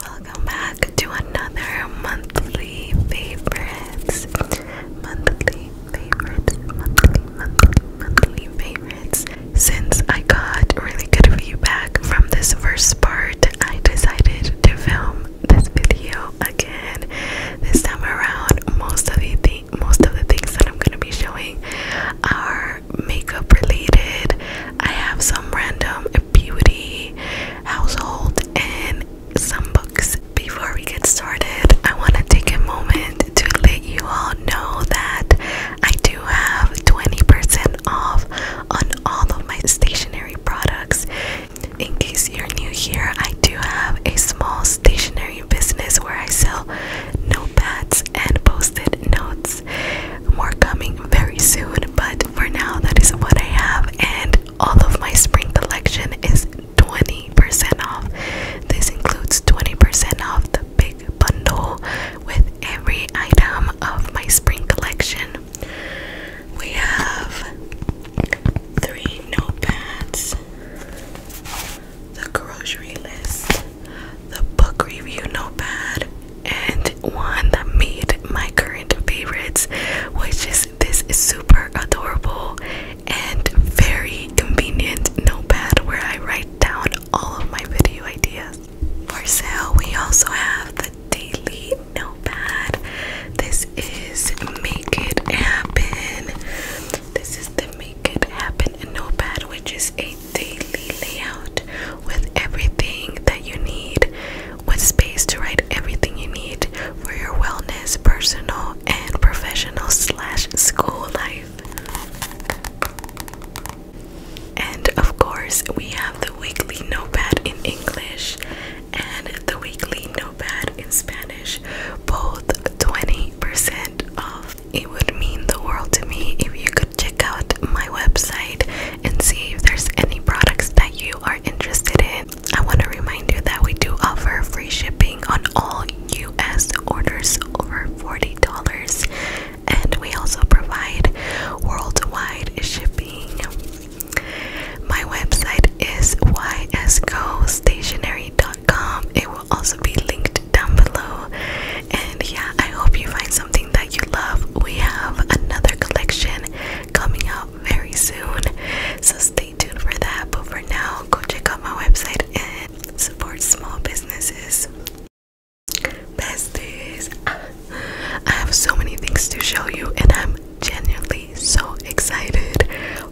Welcome back to another monthly favorites. Monthly favorites, monthly, monthly, monthly favorites. Since I got really good feedback from this first part, I decided to film this video again. This time around, most of you most of the things that I'm gonna be showing are makeup related. I have some random beauty, household, and some books. Before we get started, I want to take a moment to let you all know that I do have 20% off on all of my stationery products. In case you're new here, I do have a small stationery business where I sell notepads and post-it notes. More coming very soon, but for now that is what I have and all of my spring collection is 20% off. This includes 20% off the big bundle with every item of my spring collection. We have three notepads the grocery list, the book review notepad, and one that made my current favorites, which is this super adorable and very convenient notepad where I write down all of my video ideas. For sale, we also have the daily notepad. This is Make It Happen. This is the it happen in Notepad, which is a daily layout with everything that you need, with space to write everything you need for your wellness, personal and professional slash school life. And of course, we have the weekly notepad in English and the weekly notepad in Spanish, both 20% off. It would mean the world to me if you could check out my website and see if there's any products that you are interested in. I want to remind you that we do offer free shipping on all US orders over $40, and we also provide worldwide shipping. My website is yscostationery.com. It also be linked down below. And yeah, I hope you find something that you love. We have another collection coming out very soon, so stay tuned for that. But for now, go check out my website and support small businesses. Besties, I have so many things to show you, and I'm genuinely so excited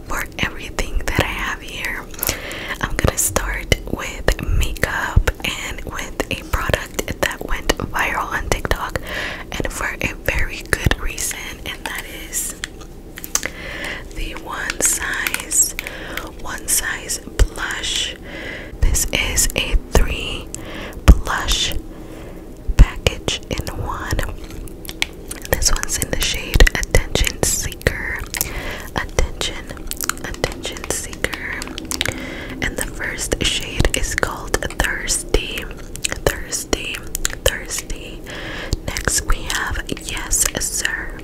for everything that I have here. I'm gonna start with makeup and with a product that went viral on TikTok and for a very good reason, and that is the one size one size blush. This is a three blush package in one. This one's in the shade Attention Seeker. Attention, Attention Seeker. And the first shade is called Thirsty. Thirsty, Thirsty. Next we have Yes, Sir.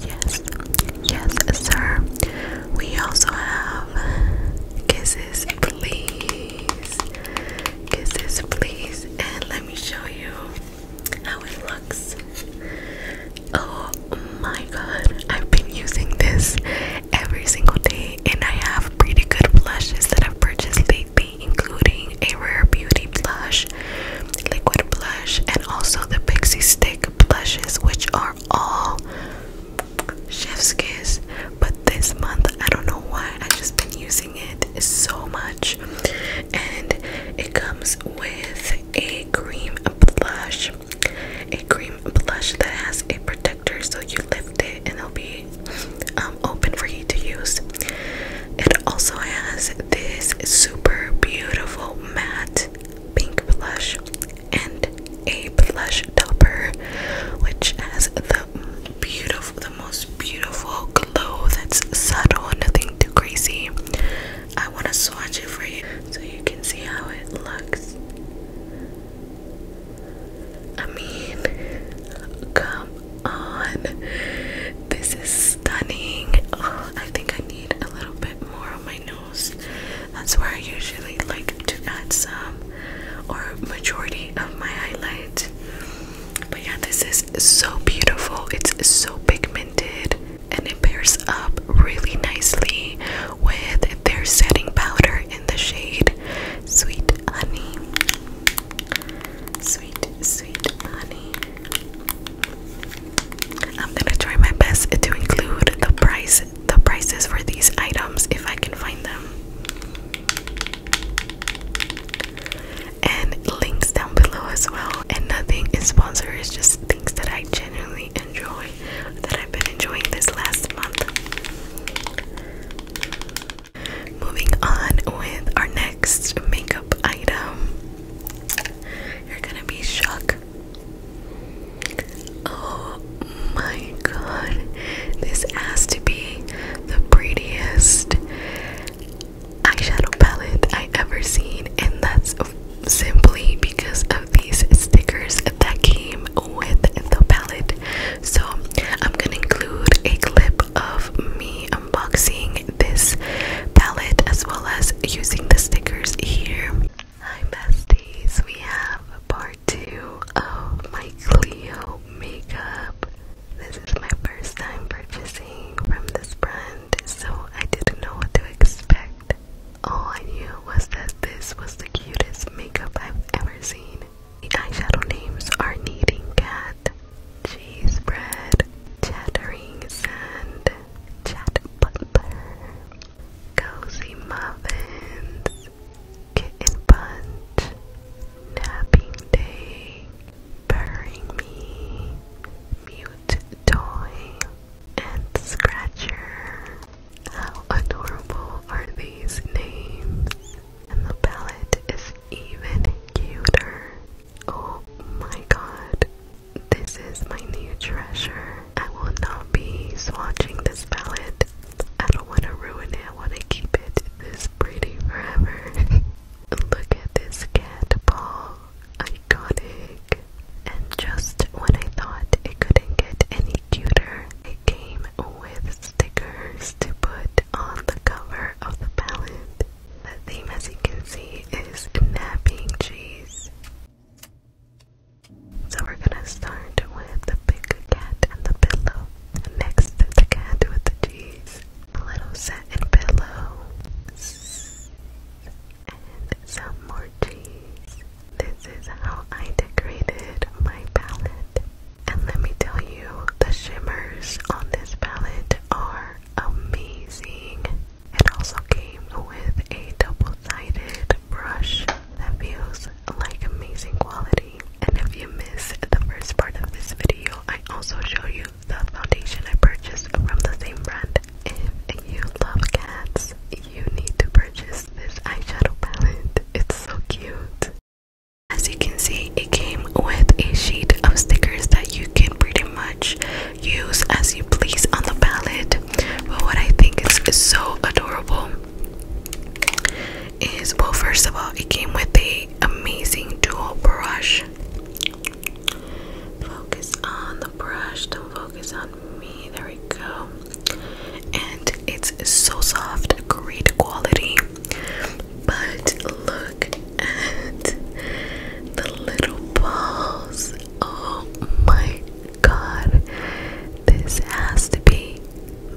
Yes, Yes, Sir. We also have Kisses, Please. Kisses, Please. And let me show you how it looks. Oh my god, I've been using this every single day, and I have pretty good blushes that I've purchased lately, including a Rare Beauty blush, liquid blush, and also the Pixie Stick blushes, which are all chef's kiss. But this month, I don't know why, I've just been using it so much, and it comes with a cream blush. A cream blush that has a protector, so you lift it and it'll be um, open for you to use. It also has this super beautiful matte pink blush and a blush topper, which has the beautiful, the most beautiful glow that's subtle, nothing too crazy. I want to swatch it for you so you can see how it looks. I mean, come on. This is stunning. Oh, I think I need a little bit more on my nose. That's where I usually like to add some or majority of my highlight. But yeah, this is so beautiful, it's so pigmented, and it pairs up really nicely with their setting powder in the shade Sweet Honey. Sweet, sweet honey. I'm gonna try my best to include the price, the prices for these items if I can find them and links down below as well. And nothing is sponsored, it's just things that I genuinely enjoy that I've been enjoying this last month. Moving on with our next makeup item. You're gonna be shocked. Oh my god, this has to be the prettiest eyeshadow palette I ever seen, and that's simply because of these stickers that came with the palette. So, I'm gonna include a clip of me unboxing this palette as well as using the stickers here. Hi, besties, we have part two of my Cleo makeup. This is my first time purchasing from this brand so I didn't know what to expect. All I knew was that this was the cutest makeup I've ever seen. The eyeshadow names are Kneading Cat, Cheese Bread, Chattering Sand, Chat Butler, Cozy Muffins, Kitten Punch, Napping Day, Burying Me, Music toy and scratcher. How adorable are these names? And the palette is even cuter. Oh my god, this is my new treasure. I will not be swatching this palette. I don't want to ruin it, I want to keep it this pretty forever. Look at this cat ball iconic. And just when I thought it couldn't get any cuter, it came with stickers to put on the cover of the palette. The theme, as you can see, is napping cheese. So we're gonna start with the big cat and the pillow. Next, the cat with the cheese little satin pillow, and some more cheese. This is how I decorated my palette. And let me tell you, the shimmers on this palette are amazing. It also came with a double-sided brush that feels like amazing quality. And if you missed the first part of this video, I also show you the foundation I purchased from the same brand. If you love cats, you need to purchase this eyeshadow palette. It's so cute. As you can see, it came with a sheet of stickers that you can pretty much use as you please on the palette. But what I think is, is so adorable is well, first of all, it came with a amazing dual brush Focus on the brush, don't focus on me. There we go. And it's so soft, great quality. But look at the little balls. Oh my god. This has to be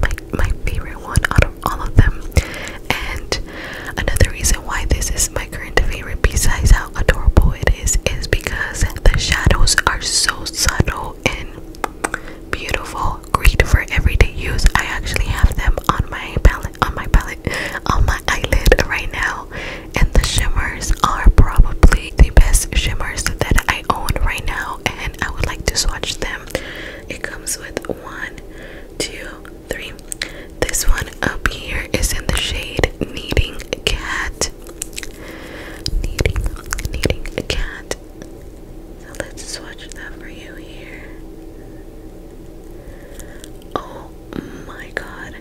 my, my favorite one out of all of them. And Another reason why this is my current favorite, besides how adorable it is, is because the shadows are so subtle and beautiful, great for everyday use. I actually have them on my palette, on my palette, on my eyelid right now, and the shimmers are probably the best shimmers that I own right now, and I would like to swatch them. It comes with one, two, three. This one up here is in the shade Needing Cat. Needing, needing a cat. So let's swatch that for you here. Oh my god.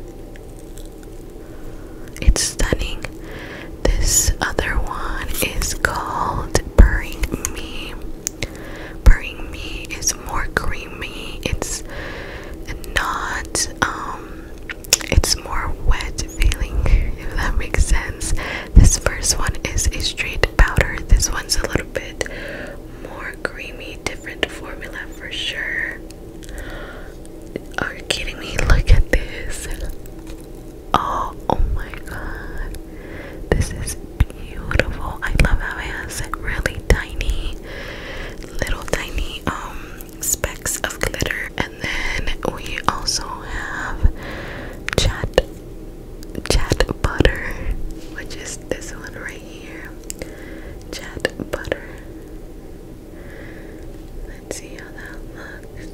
It's stunning. This other one is called Burring Me. Burring Me is more green creamy. It's not um it's more wet feeling if that makes sense. This first one is a straight powder. This one's a little bit more creamy, different formula for sure. Are you kidding me? Look at this. Oh, oh my god. This is beautiful. I love how it has really tiny little tiny um specks of glitter. And then we also have chat chat butter, which is this one right here. Chat butter. Let's see how that looks.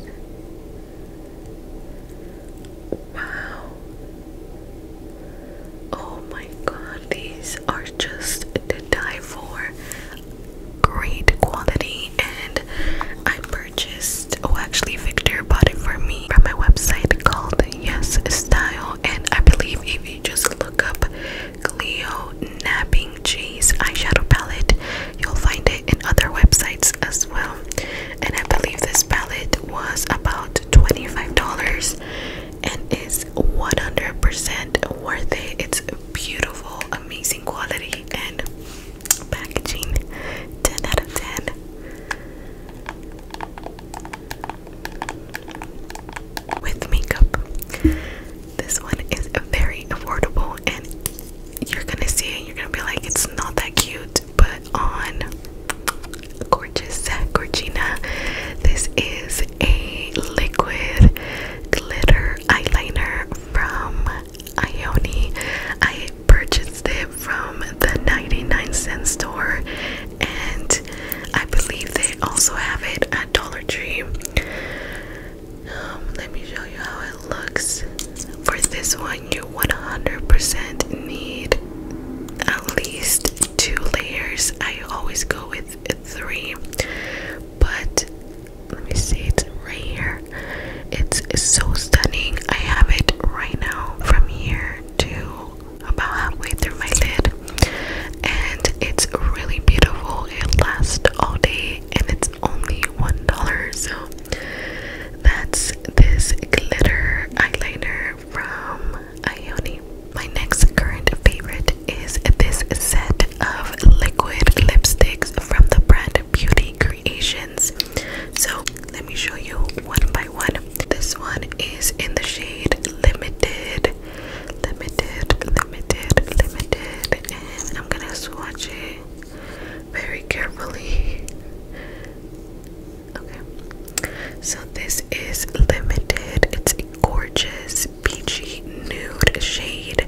Wow. Oh my god, these are just to die for. Great quality, and I purchased. Oh, actually, Victor bought it for me from my website called Yes Style, and I believe if you just look up Cleo Napping Cheese eyeshadow palette, you'll find it in other websites as well. And I believe this palette was about $25 and is 100% worth it. It's beautiful, amazing quality and packaging. 10 out of 10. With makeup, this one is very affordable, and you're gonna see it. You're gonna be like, it's not that cute, but on gorgeous Gorgina. This is a liquid glitter eyeliner from Ioni. I purchased it from the 99 cent store and I believe they also have it at Dollar Tree. Um, let me show you how it looks. For this one, you 100% need at least two layers. I always go with three, but let me see, it's right here. it's so stunning. I have it right now from here to about halfway through my lid, and it's really beautiful. It lasts all day, and it's only one dollar. So that's this glitter eyeliner from Ioni. My next current favorite is this set of liquid lipsticks from the brand Beauty Creations. So let me show you one by one. This one is in the shade Limited, Limited, Limited, Limited, and I'm gonna swatch it very carefully. Okay. So this is limited. It's a gorgeous peachy nude shade.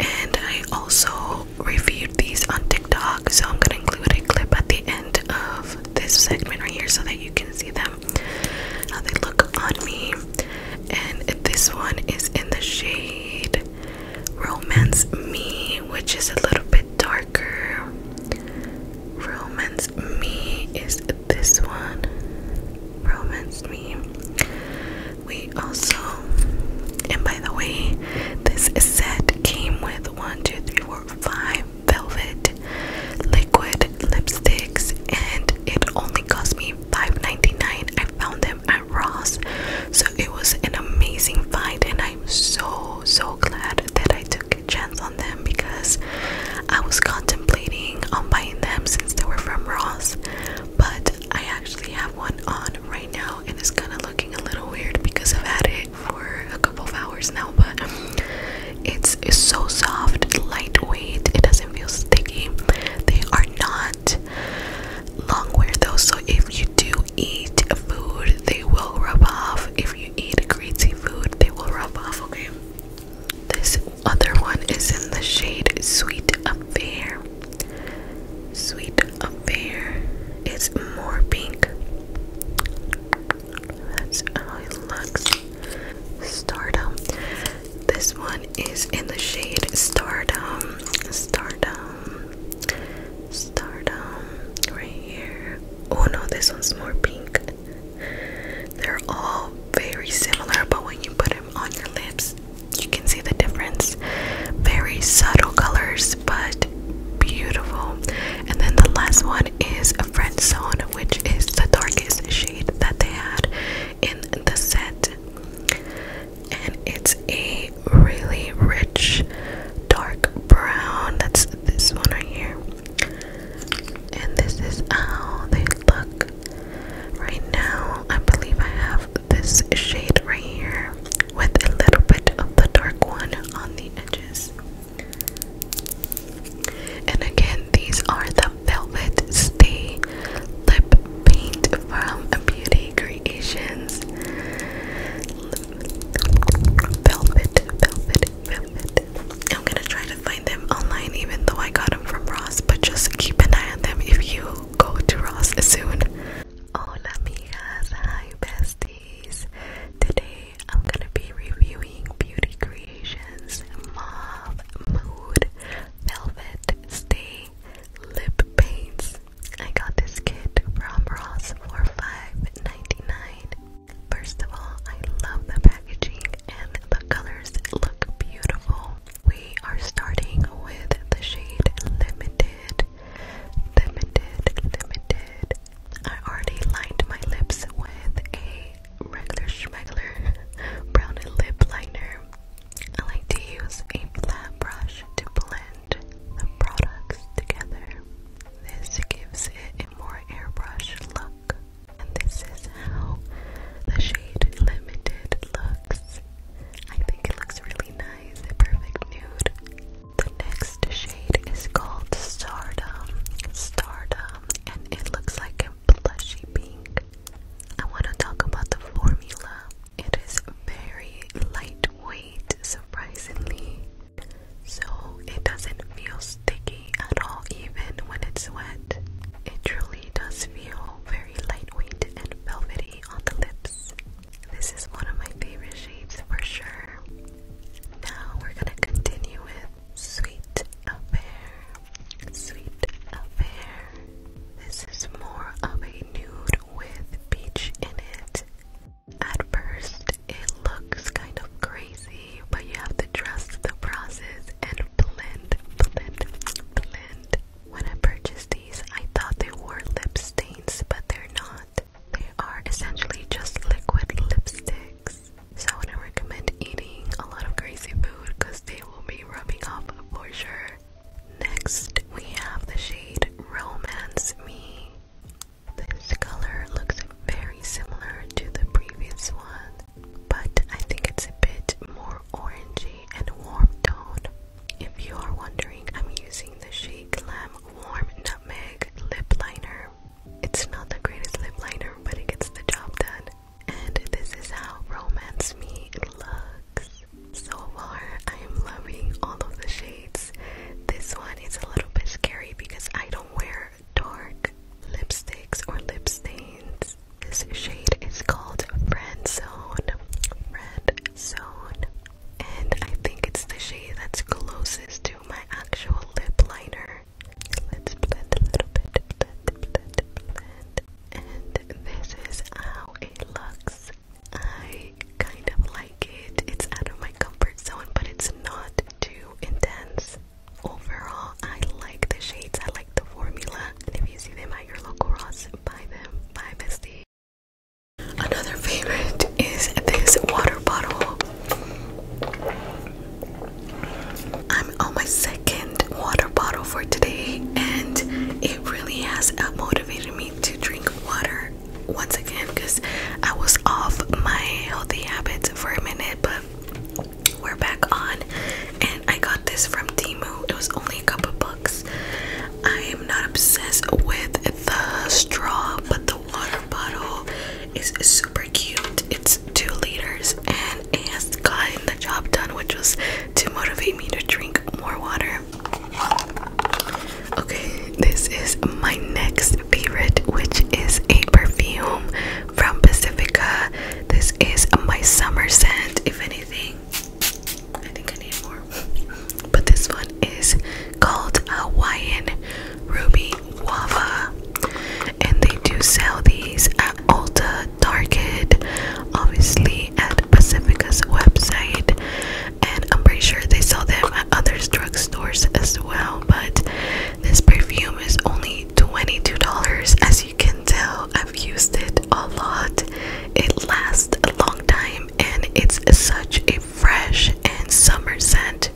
And I also reviewed these on TikTok. So I'm gonna include a clip at the end of this segment right here so that you can see them how they look on me. And this one is in the shade Romance Me, which is a little bit darker. Romance Me is this one. Romance Me. We also, and by the way, this set came with one, two, three, four, five velvet liquid lipsticks, and it only cost me five ninety nine. I found them at Ross, so it was an amazing find, and I'm so so glad that I chance on them because I was contemplating on buying them since they were from Ross, but I actually have one on right now and it's kind of looking a little weird because I've had it for a couple of hours now, but it's so soft, lightweight, it doesn't feel sticky. They are not long wear though, so if you do eat food, they will rub off. If you eat greasy food, they will rub off, okay? This other one is in the shade Sweet Affair. Sweet Affair is more pink. That's how it looks. Stardom. This one is in the shade Stardom. Stardom. Stardom. Right here. Oh no, this one's more pink. They're all very similar, but when you put them on your lips, you can see the difference. Very subtle colors, but beautiful. And then the last one is a French Zone, which is the darkest shade that they had in the set. And it's a really rich dark brown. That's this one right here. And this is how they look right now. I believe I have this shade right here with a little bit of the dark one on the edges. And again, these are the Velvet Stay Lip Paint from Beauty Creations. Velvet, velvet, I'm gonna try to find them online even though I got them from Ross, but just keep an eye on them if you go to Ross soon. Hola amigas, hi besties. Today I'm gonna be reviewing Beauty Creations Mauve Mood Velvet Stay Lip Paints. I got this kit from Ross for $5.99. First of all, I love the packaging and the colors look beautiful. We are starting with the shade Limited. Limited, Limited. I already lined my lips with a regular schmegler brown lip liner. I like to use a flat brush to blend the products together. This gives it a more airbrush look. And this is how the shade Limited looks. I think it looks really nice, a perfect nude. The next shade is called Stardom. Stardom, and it looks like a plushy pink. I want to talk about the formula. It is very lightweight, surprisingly, so it doesn't feel sticky at all even when it's wet. It truly does feel very lightweight and velvety on the lips. This is one of my favorite shades for sure. Now we're gonna continue with Sweet Affair. Sweet Affair. This is more of a nude with peach in it. At first, it looks kind of crazy but you have to trust the process and blend, blend, blend. When I purchased these, I thought they were lip stains, but they're not. They are essentially just liquid lipsticks. So I wouldn't recommend eating a lot of crazy food because they will be rubbing off for sure. Next, we have the shade Romance Me. This color looks very similar to the previous one, but I think it's a bit more orangey and warm tone. If you are wondering, I'm using the shade Glam Warm Nutmeg Lip Liner. It's not the greatest lip liner, but it gets the job done. And this is how Romance Me looks. So far, I am loving all of the shades. This one is a little bit scary because I don't wear dark lipsticks or lip stains. This shade is called Red Zone. Friend Zone. And I think it's the shade that's closest to my actual lip liner. Let's blend a little bit. Blend, blend, blend. And this is how it looks. I kind of like it. It's out of my comfort zone, but it's not too intense. Overall, I like the shades, I like the formula, if you see them at your local Ross, buy them. Bye, bestie. Another favorite is this water bottle. I'm on my second water bottle for today, and it really has motivated me to drink water once again because I was off my healthy habits for a minute, but we're back on and I got this from Timu. It was only a couple bucks. I am not obsessed with the straw, but the water bottle is super cute. It's two liters and it has gotten the job done, which was to motivate me to drink more water. Okay, this is my next favorite, which is a perfume from Pacifica. This is my summer scent, if anything. I think I need more. But this one is called Hawaiian Ruby Wava. And they do sell these at Ulta Target, obviously at Pacifica's website. And I'm pretty sure they sell them at other drugstores as well. But this perfume is only $22 as you can tell. I've used it a lot. It lasts a long time and it's such a fresh and summer scent.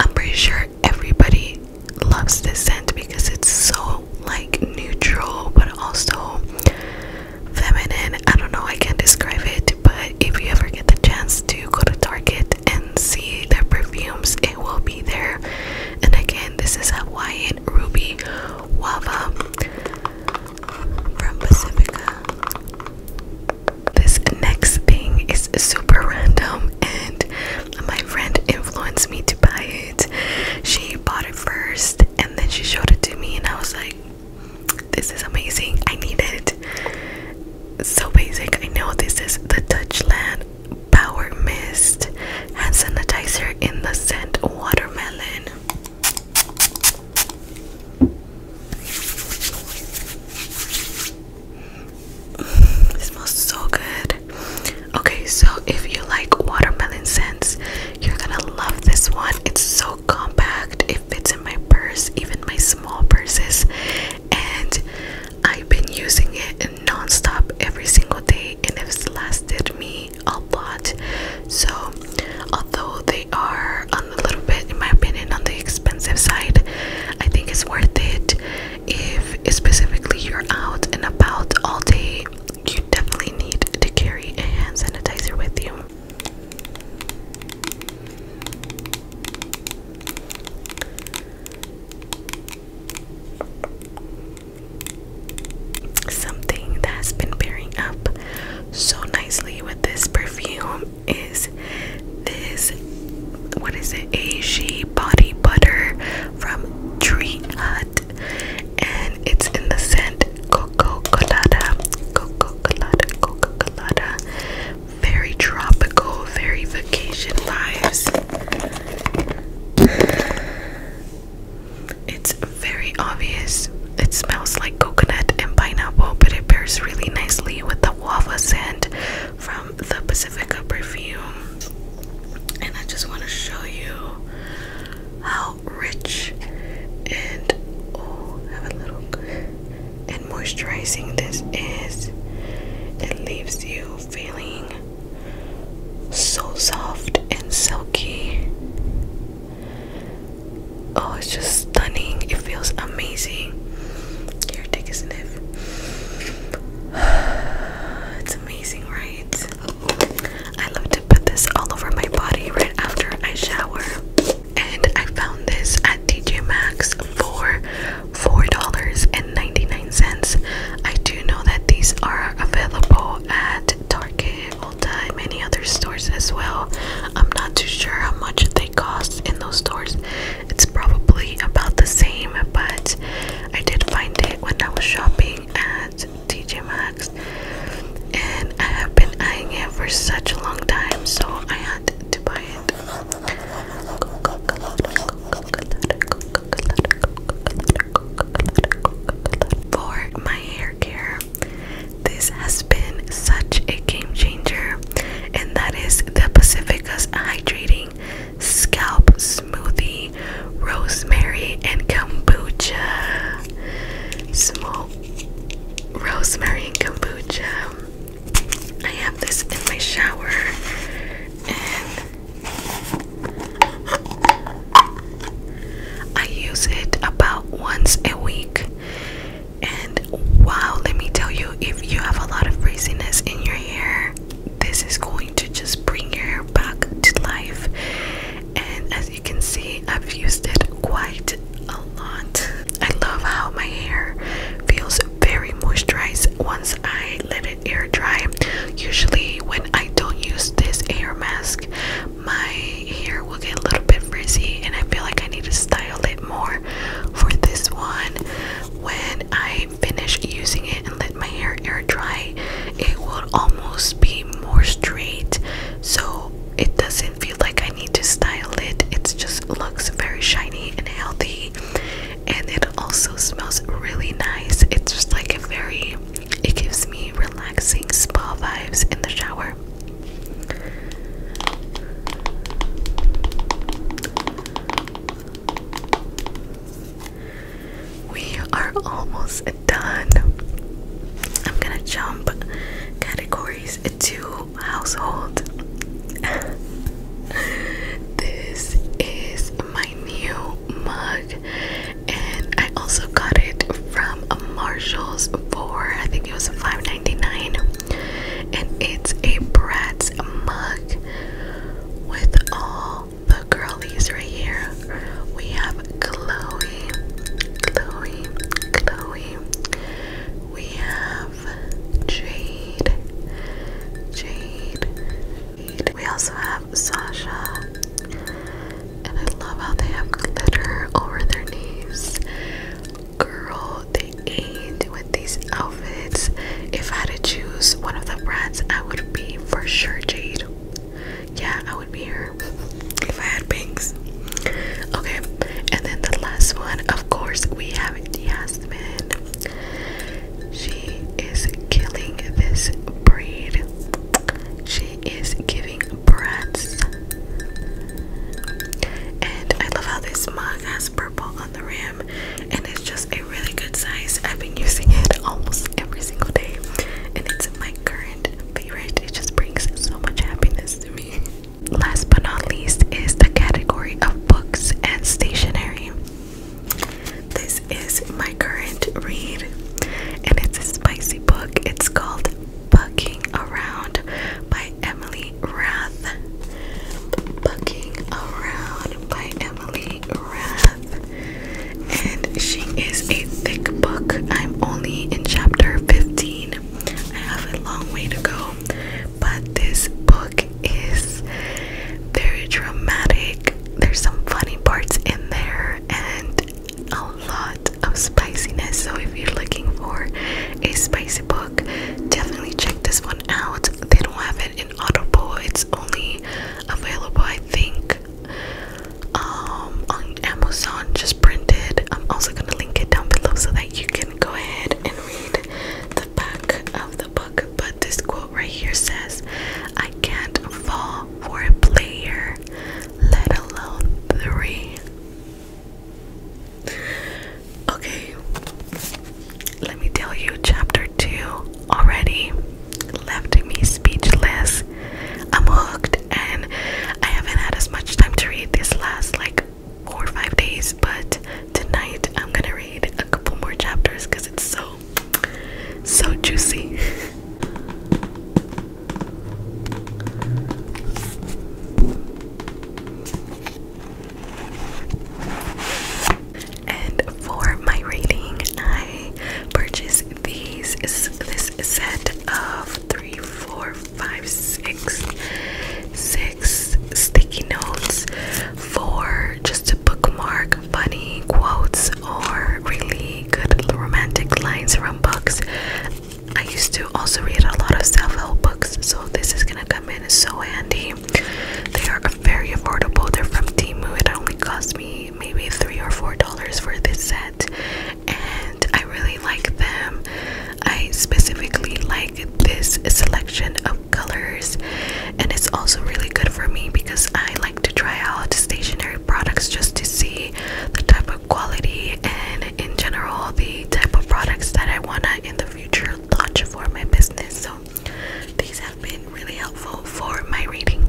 I'm pretty sure everybody loves this scent because it's so like neutral but also feminine. I don't know, I can't describe it, but if you ever get the chance to go to Target and see their perfumes, it will be there. And again, this is Hawaiian Ruby Wava from Pacifica. This next thing is super random, and my friend influenced me to buy it. She bought it first, and then she showed it to me, and I was like, this is amazing. I need it. So basic. I know this is the Dutchland Power Mist and sanitizer in the scent Watermelon. it smells so good. Okay, so if you like watermelon scents, you're gonna love this one. It's so compact, it fits in my purse, even my small purses. And I've been using it nonstop every single day, and it's lasted me a lot. So, although they are a little bit, in my opinion, on the expensive side, I think it's worth it if specifically you're out and about all day. You definitely need to carry a hand sanitizer with you. Something that has been pairing up so nicely with this perfume is this what is it? Ashi body butter from Tree Hut and it's in the scent Coco Colada Coco Colada Coco Colada very tropical, very vacation vibes. It's very obvious. It smells like coconut and pineapple, but it pairs really nicely with the waffle scent from the Pacifica perfume. And I just want to show you how rich and oh, have a little and moisturizing this is. It leaves you feeling so soft and silky. Oh, it's just stunning. It feels amazing. Here, take a sniff. It's amazing, right? I love to put this all over my body right after I shower. And I found this at TJ Maxx for $4.99. I do know that these are available at Target, Ulta, and many other stores as well. I'm not too sure how much they cost in those stores. It's probably about the same, but I did find it when I was shopping at TJ Maxx. And I have been eyeing it for such a long time, so I had to buy it. For my hair care, this has been such a game changer, and that is the Pacifica's Hydrating Scalp Smoothie Rosemary and Kombucha. Smoke rosemary and kombucha. I have this in my shower and I use it about once a week. And wow, let me tell you, if you have a lot of frizziness in your hair, this is going to just bring your hair back to life. And as you can see, I've used it quite a lot. I love how my hair feels very moisturized once I let it air dry. Usually, when I don't use this air mask, my hair will get a little bit frizzy, and I feel like I need to style it more. For this one, when I finish using it and let my hair air dry, it will almost be more straight, so it doesn't feel like I need to style it. It just looks very shiny and healthy and it also smells really nice. It's just like a very, it gives me relaxing spa vibes in the shower. We are almost done. I'm gonna jump categories to household. this is my new mug, and I also got it from a Marshalls for I think it was $5.99, and it's a Bratz mug with all the girlies right here. We have Chloe, Chloe, Chloe. We have Jade. Jade. We also have Sasha. And I love how they have glitter over their knees. Girl, they ate with these outfits. If I had to choose one of the brands, I would be for sure Jade. Yeah, I would be her if I had pinks. Okay, and then the last one, of course, we have Yasmin. She is killing this breed. She is giving brats. And I love how this mug has purple on the rim, and it's just a really good size. I've been using it almost every single day, and it's my current favorite. It just brings so much happiness to me. Last but not least is the category of books and stationery. This is my current read, and it's a spicy book. It's called Bucking Around by Emily Rath. Bucking Around by Emily Rath. And she is a thick book. I'm only in chapter 15. I have a long way to go, but this book is very dramatic. There's some funny parts in there and a lot of spiciness. So if you're looking for a spicy book, definitely check this one out. They don't have it in Audible. It's only available, I think, um, on Amazon, just printed. I'm also gonna link it down below so that you can go ahead and read back of the book, but this quote right here says, I can't fall for a player, let alone three. Okay, let me tell you, chapter two already left me speechless. I'm hooked, and I haven't had as much time to read this last like four or five days, but tonight I'm gonna read a couple more chapters because it's so, so juicy. and for my reading, I purchased these this set of three, four, five, six, six sticky notes. for just to bookmark funny quotes or really good romantic lines from books. I used to also read a lot of self-help books, so this is gonna come in so handy. They are very affordable. They're from Timu. It only cost me maybe three or four dollars for this set, and I really like them. I specifically like this selection of colors and it's also really good for me because I like to try out stationery products just to see the type of quality and in general the type of products that I want to in the future launch for my business so these have been really helpful for my reading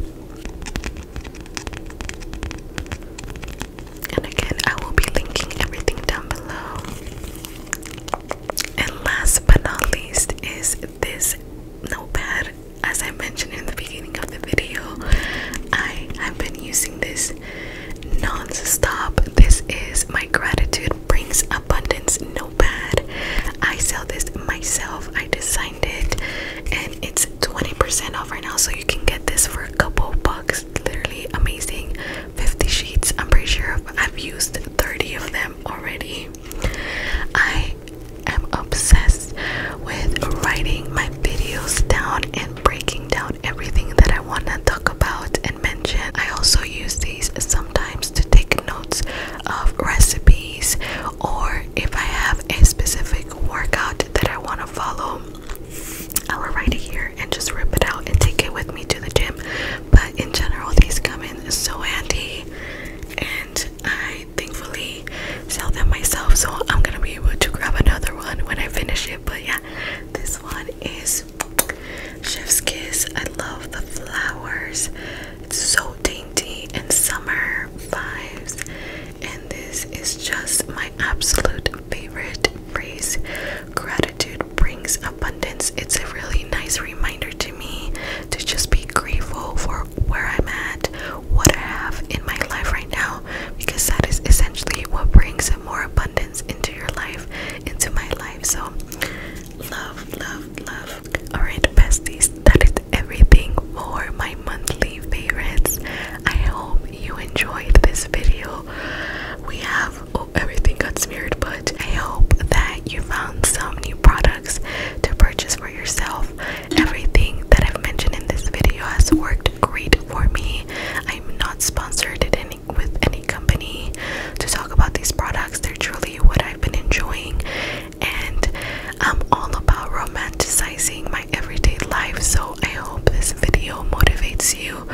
and again I will be linking everything down below and last but not least is this notepad. As I mentioned in the beginning of the video, I have been using this non-stop. This is my gratitude brings abundance notepad. I sell this myself. I designed it and it's 20% off right now so you can get this for a couple bucks. Literally amazing. 50 sheets. I'm pretty sure I've used 30 of them already. I am obsessed with writing my videos down and breaking down everything that I want to talk about and mention. I also use these sometimes to take notes of recipes or if I have a specific workout that I want to follow. I will write it here and just rip it out and take it with me to the gym but in general these come in so handy and I thankfully sell them myself so I'm gonna be able to grab another one when I finish it but yeah this one is Chef's Kiss. I love the flowers. It's so dainty and summer vibes. And this is just my absolute favorite phrase. Greta brings abundance. It's a really nice reminder to me to just be grateful for where I'm at, what I have in my life right now, because that is essentially what brings more abundance into your life, into my life. So, love, love, love. Alright, besties, that is everything for my monthly favorites. I hope you enjoyed this video. We have oh, everything got smeared, but I hope that you found some new products to purchase for yourself. Everything that I've mentioned in this video has worked great for me. I'm not sponsored at any, with any company to talk about these products. They're truly what I've been enjoying, and I'm all about romanticizing my everyday life. So I hope this video motivates you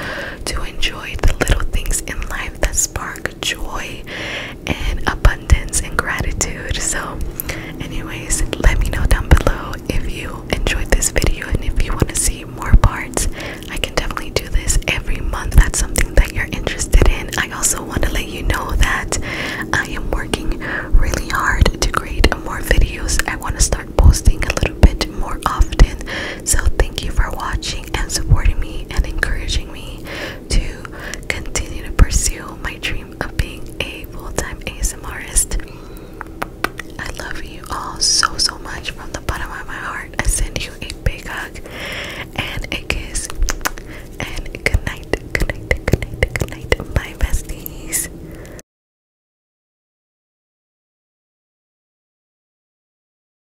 to enjoy the little things in life that spark joy and abundance and gratitude. So, anyways, let me know down below if you enjoyed this video and if you want to see more parts. I can definitely do this every month. That's something that you're interested in. I also want to let you know that I am working really hard to create more videos. I want to start posting a little bit more often. So, thank you for watching and supporting me and encouraging me to continue to pursue my dream of being a full-time ASMRist. I love you all so so much from the bottom of my heart. I send you a big hug and a kiss and good night, good night, good night, good night, my besties.